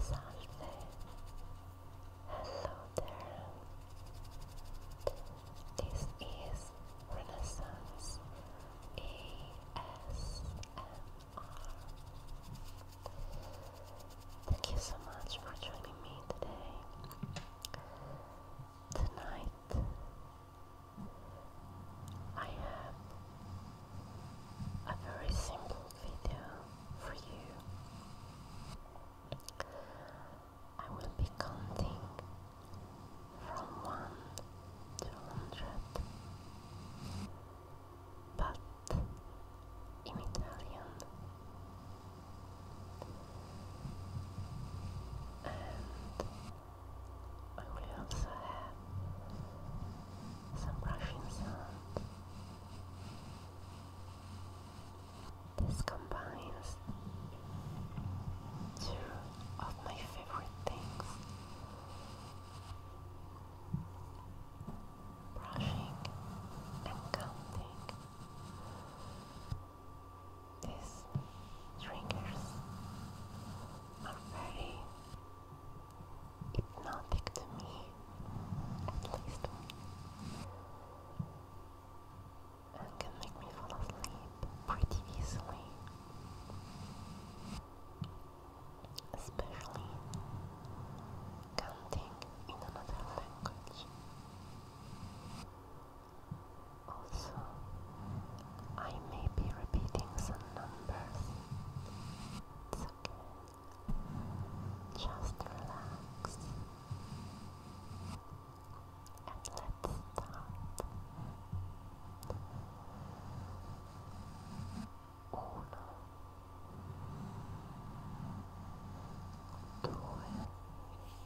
Salve. Hello there. This is Renaissance ASMR. Thank you so much for joining me today. Tonight I have a very simple video for you. I will be counting from 1 to 100. But in Italian, and I will also have some brushing This combines two of my favorite things brushing and counting. These triggers are very hypnotic to me, at least, and can make me fall asleep pretty easily, especially counting in another language. Also, I may be repeating some numbers. It's okay. Just relax. And let's start. Uno, due,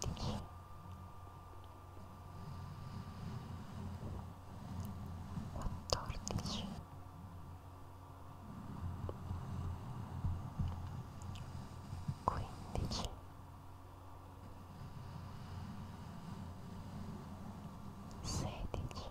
tredici quattordici quindici sedici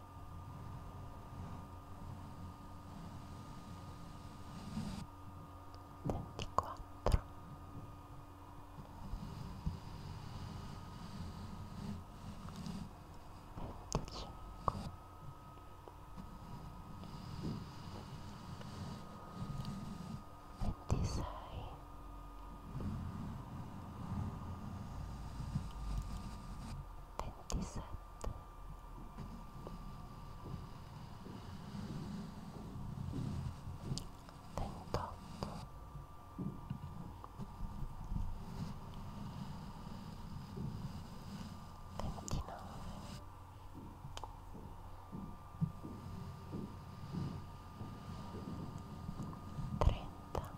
ventiquattro venticinque ventisei ventisette ventotto ventinove trenta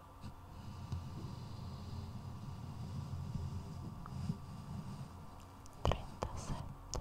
trentasette trentotto trentanove quaranta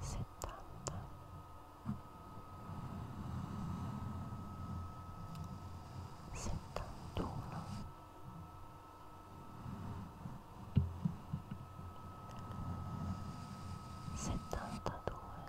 settanta settantuno settantadue settantadue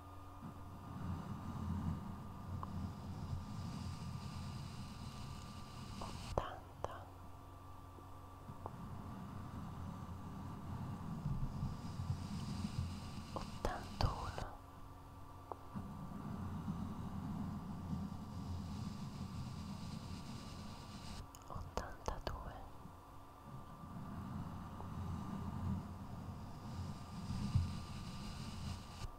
ottanta ottantuno ottantadue ottantatre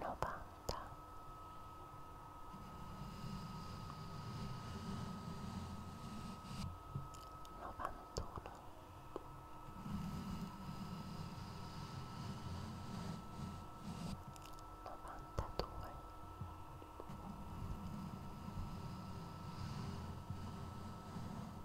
novanta novantuno novantadue novantatre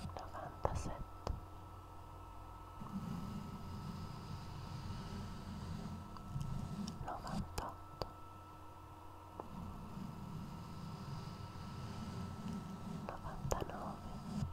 novantasette novantotto novantanove novanta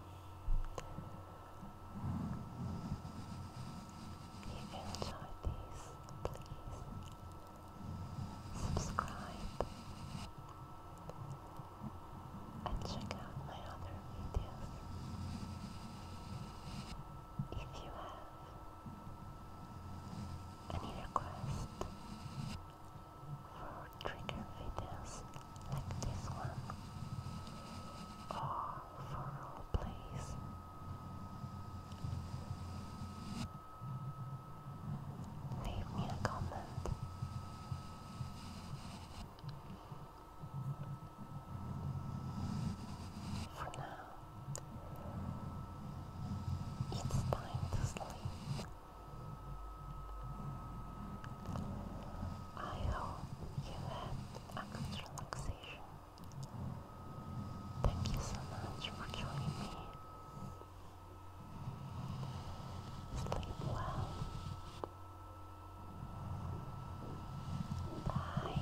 If you enjoyed this, please subscribe and check out my other videos. If you have any request for trigger videos like this one or for role plays. Leave me a comment. For now, it's time to sleep. I hope you had a good relaxation. Thank you so much for joining me. Sleep well. Bye.